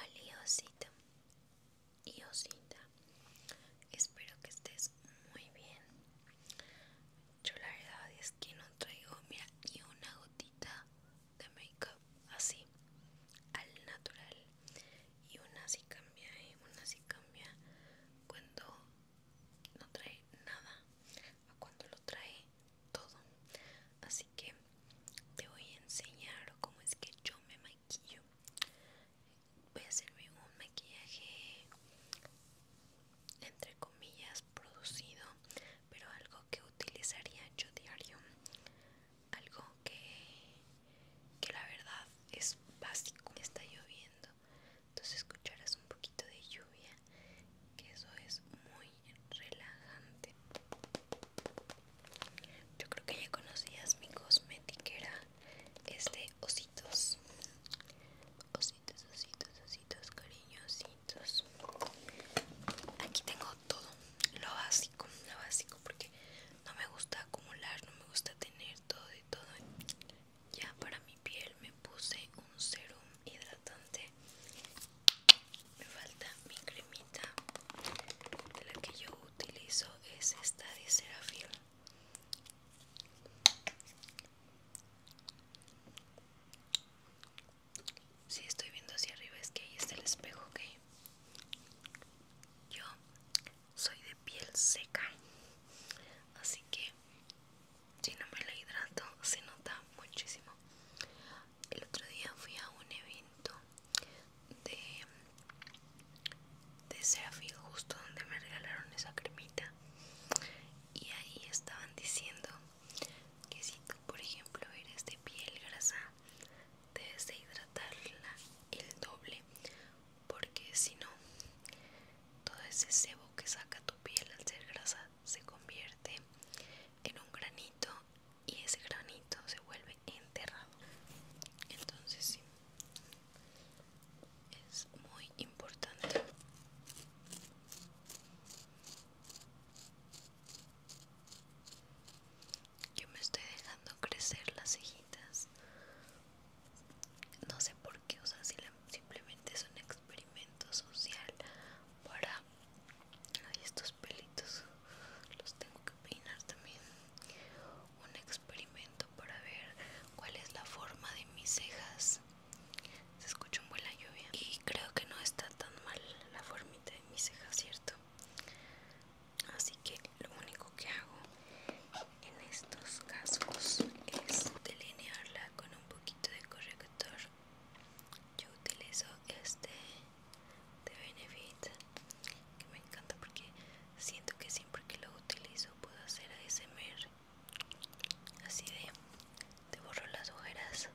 Aliosita, Osita espero que estés muy bien. Yo la verdad es que no traigo mira, ni una gotita de make así, al natural y una sí cambia y una sí cambia cuando no trae nada a cuando lo trae todo así que te voy a enseñar cómo es que yo me maquillo voy a hacerme un maquillaje entre comillas producido pero algo que utilizaría yo diario algo que, que la verdad es básico. Está lloviendo, entonces escucharás un poquito de lluvia, que eso es muy relajante. Yo creo que ya conocías mi que es de ositos. Ositos, ositos, ositos, cariñositos. Aquí tengo todo, lo básico, lo básico porque no me gusta acumular, no me gusta tener todo y todo. Ya para mi piel me puse un serum hidratante. Me falta mi cremita. La que yo utilizo es esta de Serafil. Si estoy viendo hacia arriba es que ahí está el espejo, que yo soy de piel seca, así que si no me la hidrato se nota muchísimo. El otro día fui a un evento de, de justo donde me regalaron esa cremita. Y ahí estaban diciendo que si tú, por ejemplo, eres de piel grasa, debes de hidratarla el doble porque si no todo ese sebo que saca tu piel al ser grasa se convierte en un granito y ese granito se vuelve enterrado entonces sí es muy importante yo me estoy dejando crecer las cejitas. No sé por qué, o simplemente es un experimento social para... estos pelitos los tengo que peinar también. Un experimento para ver cuál es la forma de mis cejas. Se escucha muy la lluvia. Y creo que no está tan mal la formita de mis cejas, ¿cierto? Así que lo único que hago en estos casos es delinearla con un poquito de corrector. Yo utilizo este de Benefit que me encanta porque siento que siempre que lo utilizo puedo hacer ASMR así de, de borro las ojeras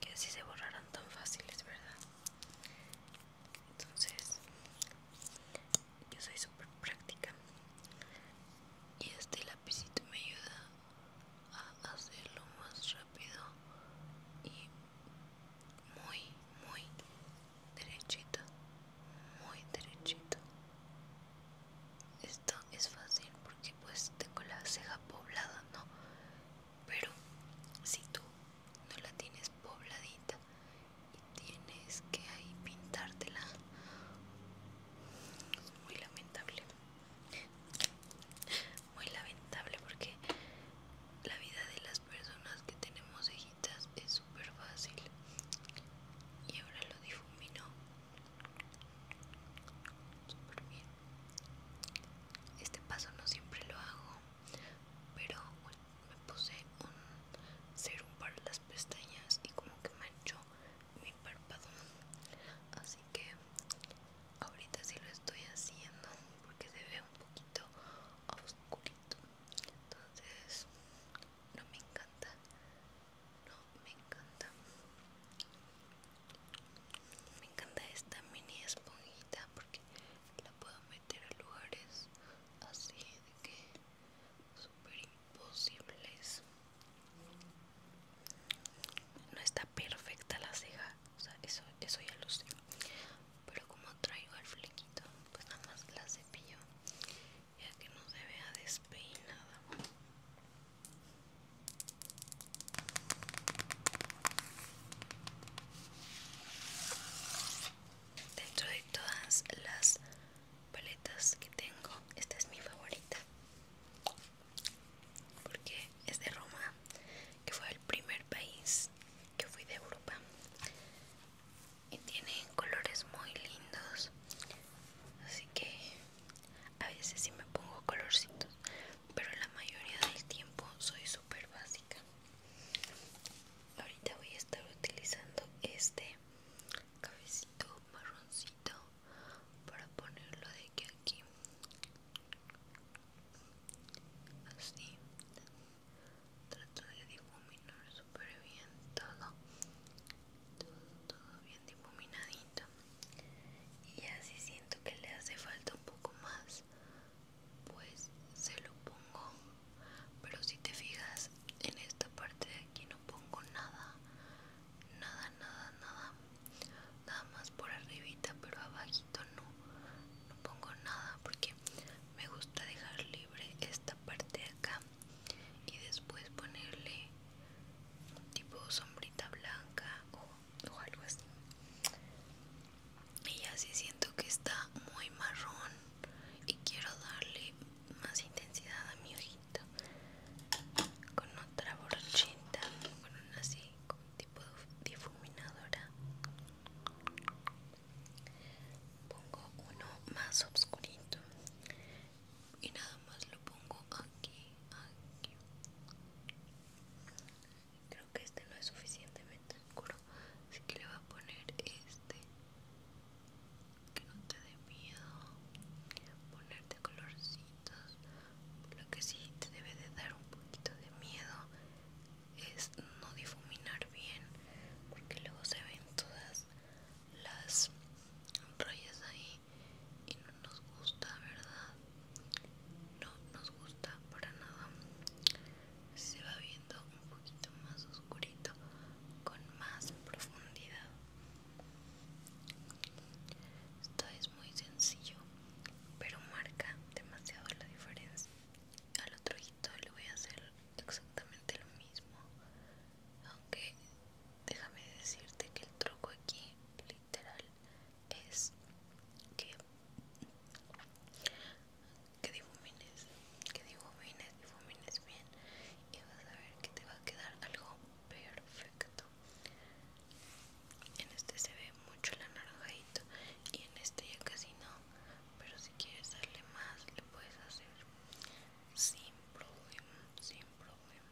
que así se borraran tan fáciles, ¿verdad? Entonces, yo soy súper práctica. Y este lapicito me ayuda a hacerlo más rápido y muy, muy derechito. Muy derechito. Esto es fácil porque pues tengo la ceja poblada, ¿no? Pero si tú no la tienes pobladita y tienes que ahí pintártela, es muy lamentable. Muy lamentable porque la vida de las personas que tenemos cejitas es súper fácil. Y ahora lo difumino este paso no siempre lo hago, pero me puse un serum para las pestañas y como que manchó mi párpado. Así que ahorita sí lo estoy haciendo porque se ve un poquito oscurito. Entonces no me encanta no, me encanta. Me encanta esta mini esponjita porque la puedo meter a lugares así de que super imposibles. No está perfecta la ceja, o sea, eso, eso ya lo sé. Pero como traigo el flequito, pues nada más la cepillo ya que no se vea despeinada dentro de todas las paletas que tengo esta es mi favorita porque es de Roma que fue el primer país que fui de Europa y tiene colores muy lindos así que a veces sí me pongo colorcitos pero la mayoría del tiempo soy súper básica ahorita voy a estar utilizando este cabecito marroncito para ponerlo de aquí aquí así trato de difuminar súper bien todo todo, bien difuminadito y así siento que le hace falta un poco más pues se lo pongo pero si te fijas en esta parte de aquí no pongo nada nada nada nada nada más por arribita pero abajito no no pongo nada porque me gusta dejar libre esta parte de acá y después ponerle tipo sombrita blanca o, algo así y así siento que está muy marrón y quiero darle más intensidad a mi ojito con otra borchita, con una así con tipo difuminadora pongo uno más oscurito y nada más lo pongo aquí, aquí. Creo que este no es suficientemente oscuro, así que le voy a poner este. Que no te dé miedo ponerte colorcitos. Lo que sí te debe de dar un poquito de miedo es no difuminar bien, porque luego se ven todas las rayas ahí y no nos gusta verdad no nos gusta para nada se va viendo un poquito más oscurito con más profundidad esto es muy sencillo pero marca demasiado la diferencia al otro ojito le voy a hacer exactamente lo mismo aunque déjame decirte que el truco aquí literal es que difumines que difumines difumines bien y vas a ver que te va a quedar algo perfecto en este se ve mucho el anaranjadito y en este ya casi no pero si quieres darle más lo puedes hacer sin problema, sin problema.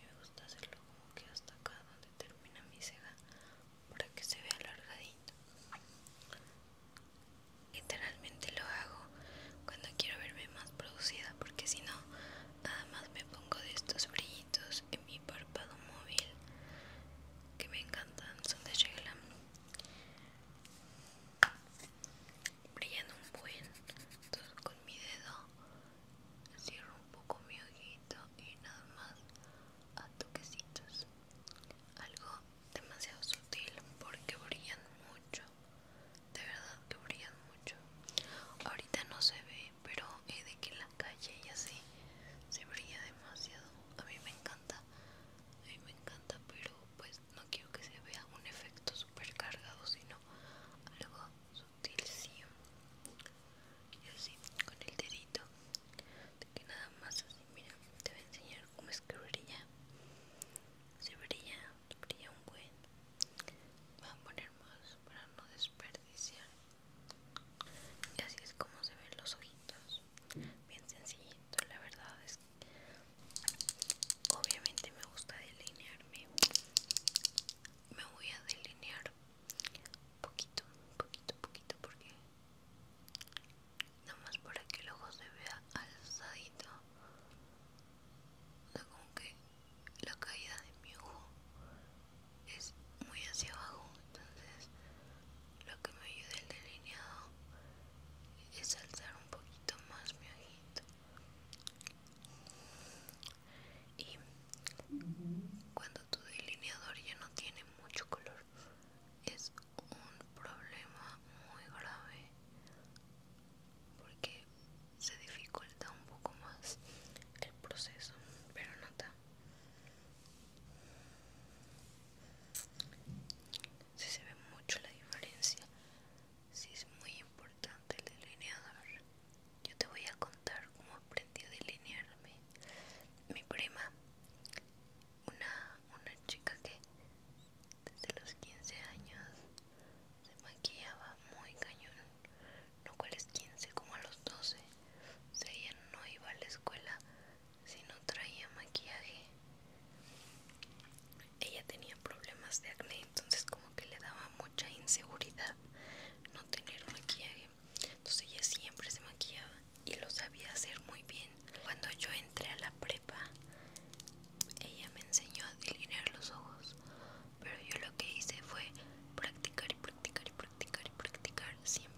Me gusta hacerlo como que hasta acá donde termina mi ceja para que se vea alargadito. Literalmente lo hago cuando quiero verme más producida porque si no, nada más me pongo de estos brillitos en mi párpado móvil que me encantan, son de Sheila brillan un buen entonces con mi dedo cierro un poco mi ojito y nada más a toquecitos algo demasiado sutil porque brillan mucho de verdad que brillan mucho ahorita no se ve pero es de que en la calle y así se brilla demasiado a mí me encanta a mí me encanta pero pues pues, no quiero que se vea un efecto super cargado sino algo ¿sí? y así con el dedito de que nada más así mira te voy a enseñar cómo es que brilla se brilla brilla un buen voy a poner más para no desperdiciar y así es como se ven los ojitos bien sencillito la verdad es que Obviamente me gusta delinearme. Me voy a delinear poquito, poquito, poquito porque nada más para que el ojo se vea alzadito. O como que la caída de mi ojo es muy hacia abajo, entonces lo que me ayuda el delineado es alzar un poquito más mi ojito y cuando tu delineador ya no tiene mucho color es un problema muy grave porque se dificulta un poco más el proceso pero nota si se ve mucho la diferencia Sí, es muy importante el delineador. Yo te voy a contar cómo aprendí a delinearme. Mi prima, una, una chica que desde los 15 años se maquillaba muy cañón. No cuales 15, como a los 12. O ella no iba a la escuela si no traía maquillaje ella tenía problemas de acné, entonces como que le daba mucha inseguridad no tener maquillaje. Entonces ella siempre se maquillaba y lo sabía hacer muy bien. Cuando yo entré a la prepa, ella me enseñó a delinear los ojos, pero yo lo que hice fue practicar y practicar y practicar y practicar siempre.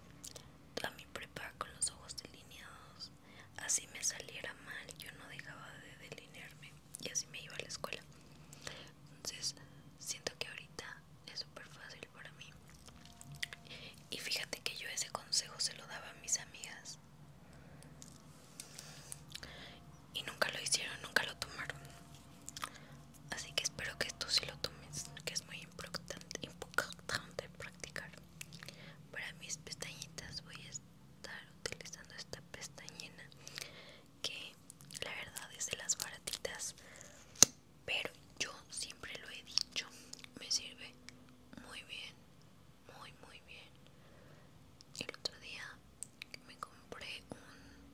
Toda mi prepa con los ojos delineados Así me saliera mal, yo no dejaba de delinearme y así me iba a la escuela. Entonces, siento que ahorita es súper fácil para mí. Y fíjate que yo ese consejo se lo daba a mis amigas. Y nunca lo hicieron, nunca lo tomaron. Así que espero que tú sí lo tomes, que es muy importante, importante practicar. Para mis pestañitas voy a estar utilizando esta pestañina que la verdad es de las baratitas pero yo siempre lo he dicho me sirve muy bien muy muy bien el otro día me compré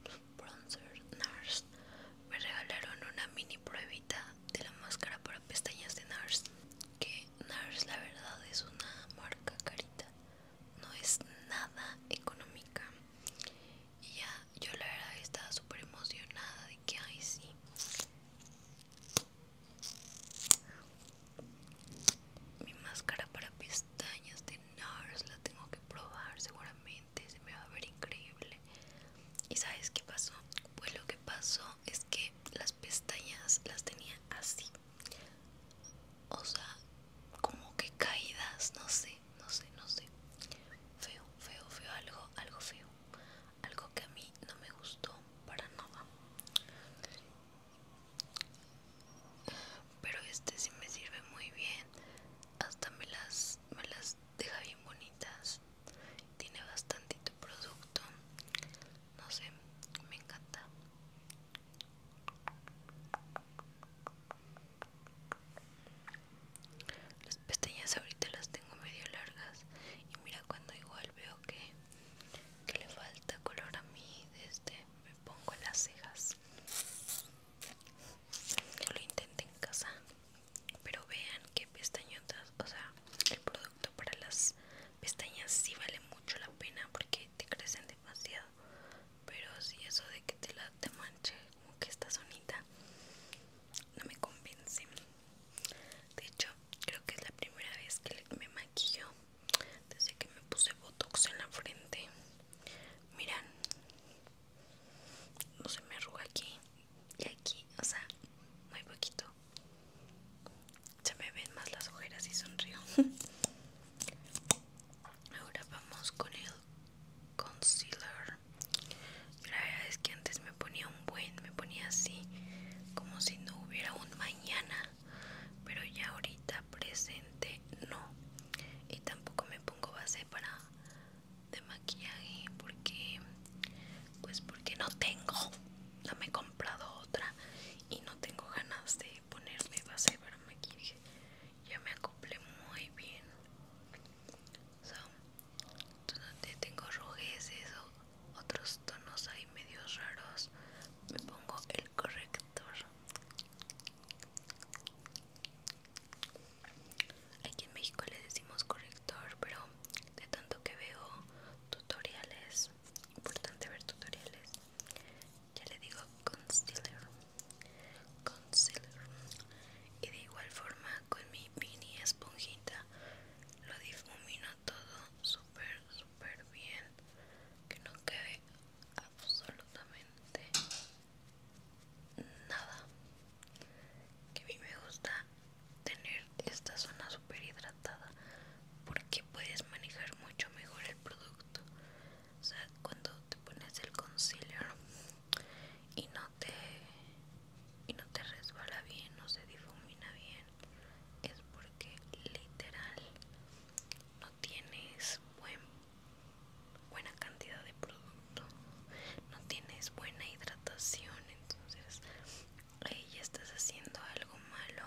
un bronzer NARS me regalaron una mini pruebita de la máscara para pestañas de NARS que Nars la verdad es una marca carita, no es nada económica. Y ya, yo la verdad estaba súper emocionada de que, ahí sí. Mi máscara para pestañas de NARS la tengo que probar seguramente, se me va a ver increíble. ¿Y sabes qué pasó? Pues lo que pasó es que las pestañas las tenía así o sea como que caídas no sé no sé no sé feo feo feo algo algo feo algo que a mí no me gustó para nada pero este sí me sirve muy bien hasta me las me las deja bien bonitas tiene bastantito producto no sé me encanta las pestañas ahorita las tengo medio largas y mira cuando igual veo que, que le falta color a mí desde me pongo las cejas yo lo intenté en casa pero vean qué pestañotas o sea el producto para las pestañas sí vale mucho la pena porque te crecen demasiado pero si eso de que te te manche como que esta sonita no me convence de hecho creo que es la primera vez que me maquillo desde que me puse botox en la frente miran no se me arruga aquí y aquí o sea muy poquito se me ven más las ojeras y sonrío. Ahora vamos con el concealer. La verdad es que antes me ponía un buen, me ponía así como si no hubiera un mañana, pero ya ahorita presente no. Y tampoco me pongo base para de maquillaje porque pues porque no tengo, no me otra y no tengo ganas de ponerme base para maquillaje. Ya me acople muy bien. So, tengo rojeces o otros tonos ahí medios raros. Me pongo el corrector. Aquí en México le decimos corrector, pero de tanto que veo tutoriales importante ver tutoriales ya le digo concealer concealer y de igual forma con mi mini esponjita lo difumino todo súper súper bien que no quede absolutamente nada que a mí me gusta tener esta zona super hidratada porque puedes manejar mucho mejor el producto o sea cuando te pones el concealer y no te y no te resbala bien no se difumina bien es porque literal no tienes buena cantidad de producto no tienes buena hidratación entonces ahí ya estás haciendo algo malo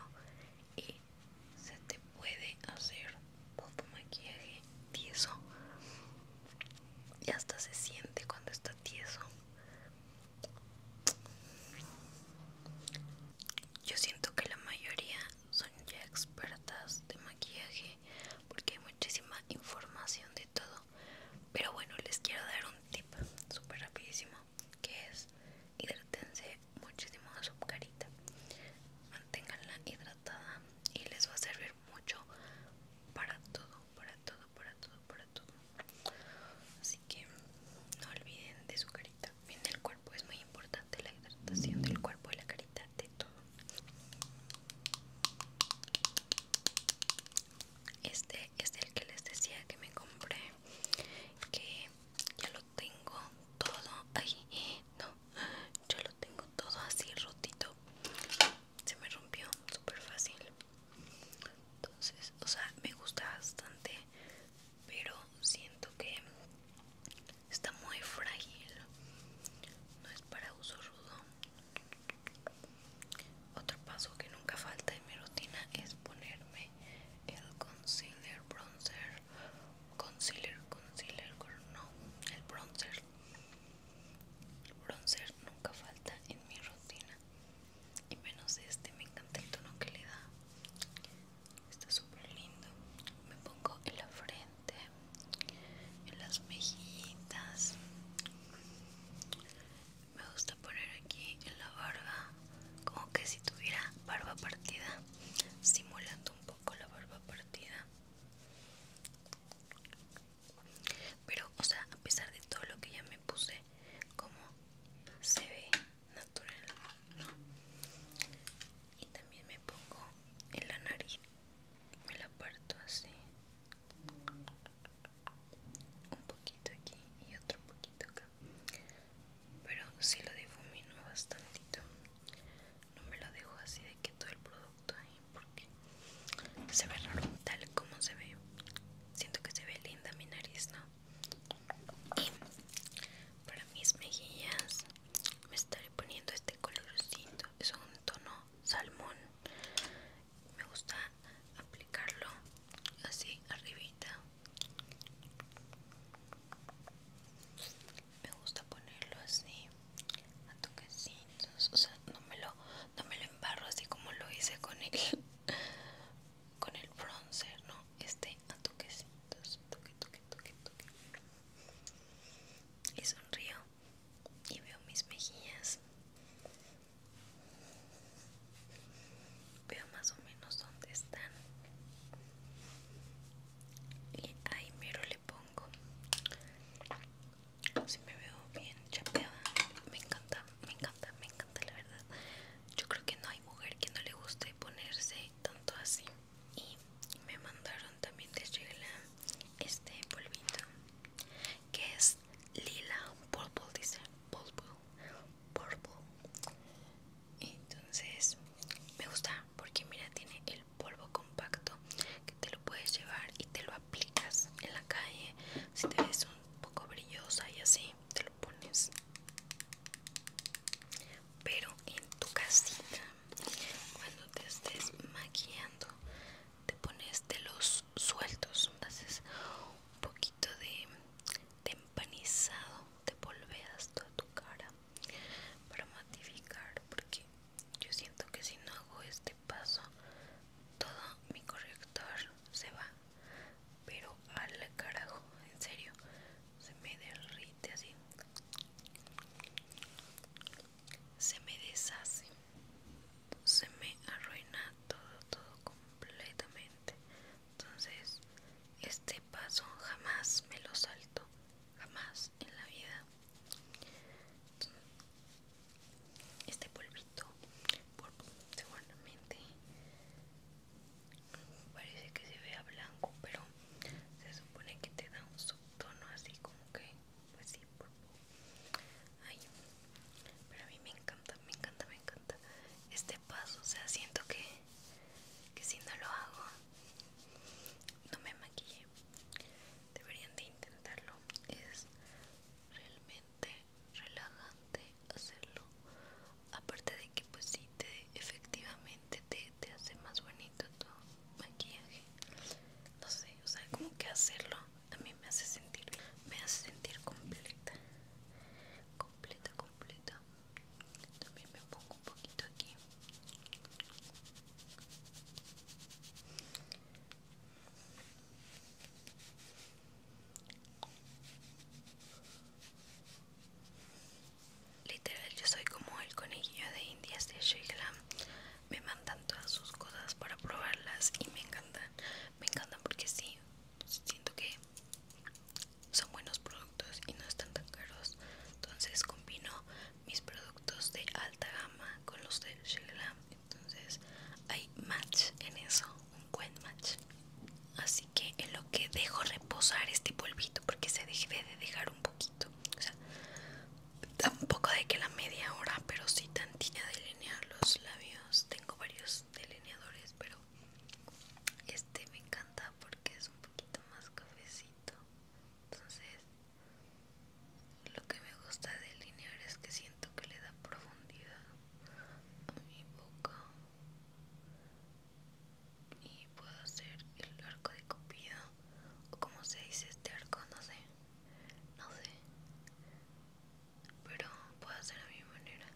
y se te puede hacer poco maquillaje tieso y hasta se siente cuando está tieso yo siento que la mayoría son ya expertas de maquillaje porque hay muchísima información de todo pero bueno les quiero dar un tip súper rapidísimo que es hidrátense muchísimo a su carita, manténganla hidratada y les va a servir mucho para todo, para todo, para todo, para todo. Así que no olviden de su carita, bien el cuerpo, es muy importante la hidratación del cuerpo y la carita de todo. Este es el que les decía que me compré que ya lo tengo todo ahí no ya lo tengo todo así rotito se me rompió súper fácil entonces o sea me gusta bastante pero siento que está muy frágil no es para uso rudo otro paso que nunca falta en mi rutina es ponerme el concealer bronzer. Concealer, concealer, no, el bronzer. El bronzer nunca falta en mi rutina. Y menos este, me encanta el tono que le da. Está súper lindo. Me pongo en la frente, en las mejillas me gusta poner aquí en la barba como que si tuviera barba partida simulando un poco la barba partida pero o sea a pesar de todo lo que ya me puse como se ve natural ¿no? y también me pongo en la nariz me la parto así un poquito aquí y otro poquito acá pero si sí lo difumino bastantito no me lo dejo así de que todo el producto ahí porque se ve raro tal como se ve siento que se ve linda mi nariz no y para mis mejillas me estaré poniendo este colorcito es un tono salmón me gusta aplicarlo así arribita me gusta ponerlo así a toquecitos o sea no me lo no me lo embarro así como lo hice con el con el bronzer no este a toquecitos toque toque toque toque y sonrío y veo mis mejillas Veo más o menos dónde están. Y ahí mero le pongo. Si me veo bien chapeada. Me encanta, me encanta, me encanta la verdad. Yo creo que no hay mujer que no le guste ponerse tanto así. Y me mandaron también de Sheila este polvito que es lila, purple dice, purple, purple. Entonces me gusta porque mira tiene el polvo compacto que te lo puedes llevar y te lo aplicas en la calle. Si te ves un poco brillosa y así te lo pones. Pero en tu casita, cuando te estés maquillando, te pones de los sueltos, haces un poquito de, empanizado de volveas toda tu cara para matificar porque yo siento que si no hago este paso todo mi corrector se va pero al carajo en serio se me derrite así se me deshace se me arruina todo, todo completamente. Entonces, este paso jamás me lo salto, jamás en la vida. Este polvito, seguramente parece que se vea blanco, pero se supone que te da un subtono así como que, pues sí, Ay, pero a mí me encanta, me encanta, me encanta este paso. O sea, siento que, si no lo hago, no me maquille Deberían de intentarlo. Es realmente relajante hacerlo. Aparte de que pues sí, te, efectivamente te, te hace más bonito tu maquillaje. No sé, o sea, como que hacerlo a mí me hace sentir me hace sentir completa, completa, completa. También me pongo un poquito aquí. Literal, yo soy como el conejillo de indias de Sheila. Me mandan todas sus cosas para probarlas y me encanta me encantan porque sí siento que son buenos productos y no están tan caros entonces combino mis productos de alta gama con los de Sheglam entonces hay match en eso un buen match así que en lo que dejo reposar este polvito porque se dejé de dejar un poquito o sea tampoco de que la media hora pero sí tantilla de delinear los labios tengo varios delineadores pero este me encanta porque es un poquito más cafecito entonces lo que me gusta delinear es que siento que le da profundidad a mi boca y puedo hacer el arco de copia o como se dice este arco no sé no sé pero puedo hacer a mi manera.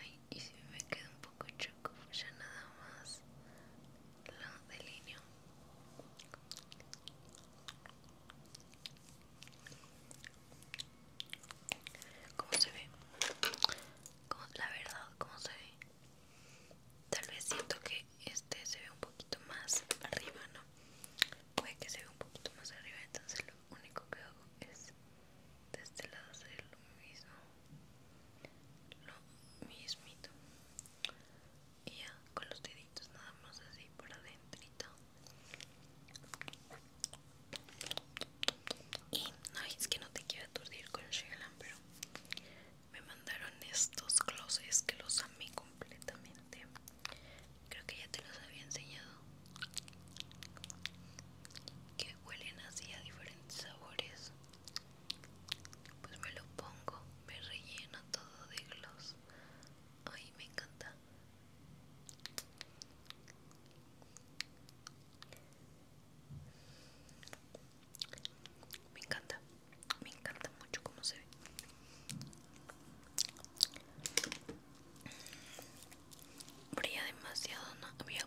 Ay, y si me queda un poco choco, ya nada más lo delineo. ¿Cómo se ve? la verdad, ¿cómo se ve? Tal vez siento que este se ve un poquito más arriba, ¿no? Puede que se vea un poquito más arriba, entonces lo único que hago es de este lado hacer lo mismo. Lo mismo Y ya con los deditos nada más así por adentro Y no es que no te quiero aturdir con el Shegalan, pero me mandaron estos glosses que los amé completamente creo que ya te los había enseñado que huelen así a diferentes sabores pues me lo pongo me relleno todo de gloss ay me encanta me encanta, me encanta mucho como se ve. Brilla demasiado, no había.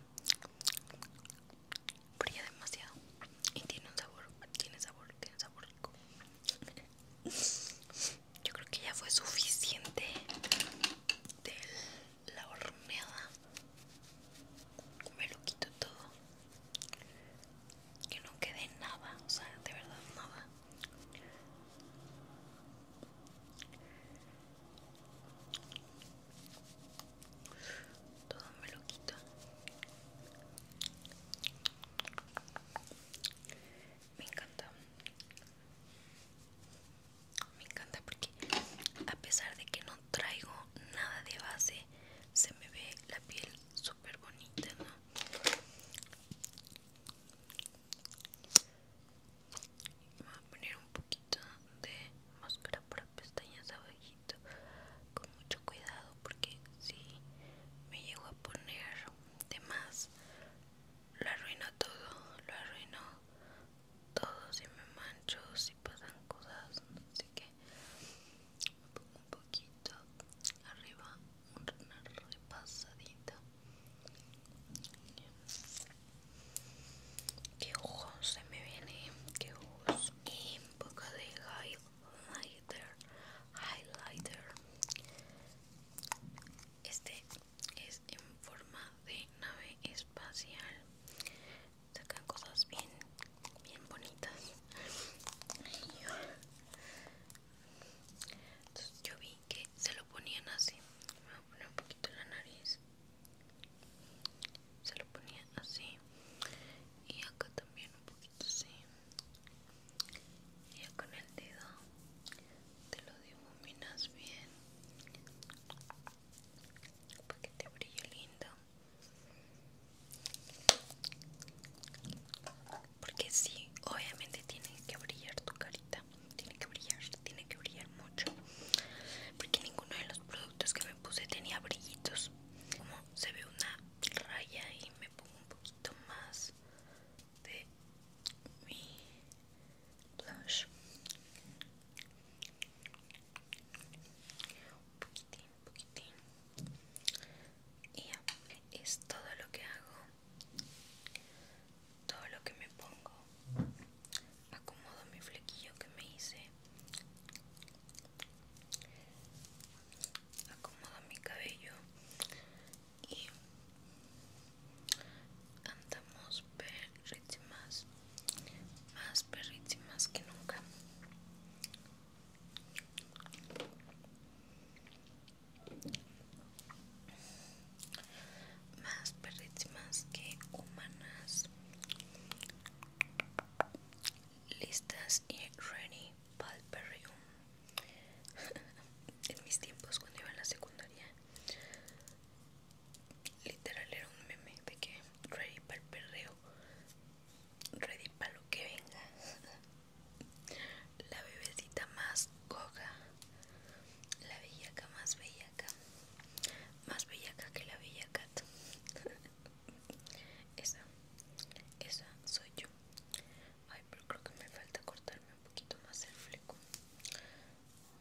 Brilla demasiado y tiene un sabor, tiene sabor, tiene sabor rico. Yo creo que ya fue suficiente de la horneada me lo quito todo que no quede nada o sea de verdad nada todo me lo quito me encanta me encanta porque a pesar de que no traigo nada de base se me ve la piel súper bonita ¿no? voy a poner un poquito de máscara para pestañas abajito con mucho cuidado porque si me llego a poner de más lo arruino todo lo arruino todo si me mancho si pasan cosas así que me pongo un poquito arriba una repasadita que ojos se me viene que ojos y un poco de highlighter highlighter este es en forma de nave espacial sacan cosas bien, bien bonitas. Entonces yo vi que se lo ponían así. Me voy a poner un poquito la nariz. Se lo ponía así. Y acá también un poquito así. Y con el dedo te lo difuminas bien para que te brille lindo porque sí, obviamente tiene que brillar tu carita, tiene que brillar, tiene que brillar mucho. Porque ninguno de los productos que me puse tenía brillitos. Como se ve una raya y me pongo un poquito más de mi blush un poquitín, poquitín y es todo lo que hago todo lo que me pongo acomodo mi flequillo que me hice acomodo mi cabello y andamos más más perritimas que nunca. Más perritimas que humanas. Listas y ready palperium. en mis tiempos cuando iba a la secundaria literal era un meme de que ready para el perreo, ready para lo que venga. La bebecita más coca, la bellaca más bellaca, más bellaca que la bellaca. Esa, esa soy yo. Ay, pero creo que me falta cortarme un poquito más el fleco.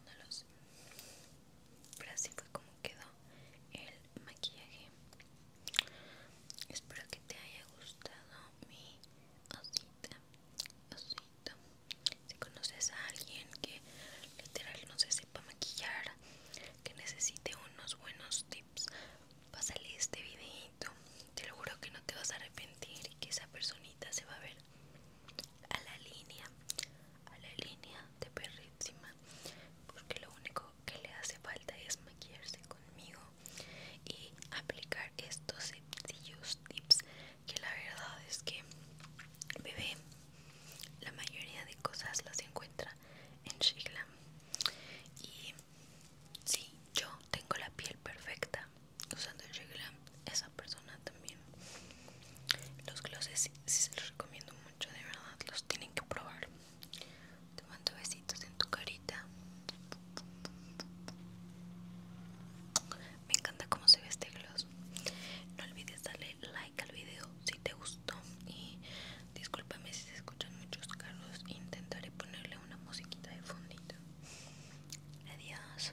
No lo sé. Pero así fue como quedó el maquillaje. Espero que te haya gustado mi osita. Si conoces a alguien que literal no se sepa maquillar, que necesite unos buenos tips, salir este videito. Te lo juro que no te vas a arrepentir y que esa personita se va a ver a la línea a la línea de perrísima porque lo único que le hace falta es maquillarse conmigo y aplicar estos sencillos tips que la verdad es que el bebé la mayoría de cosas las encuentra en Shiglam y sí yo tengo la piel perfecta usando Shiglam esa persona también los glosses si se los recomiendo de verdad, los tienen que probar. Te mando besitos en tu carita. Me encanta cómo se ve este gloss. No olvides darle like al video si te gustó. Y discúlpame si se escuchan muchos carros. Intentaré ponerle una musiquita de fondito. Adiós.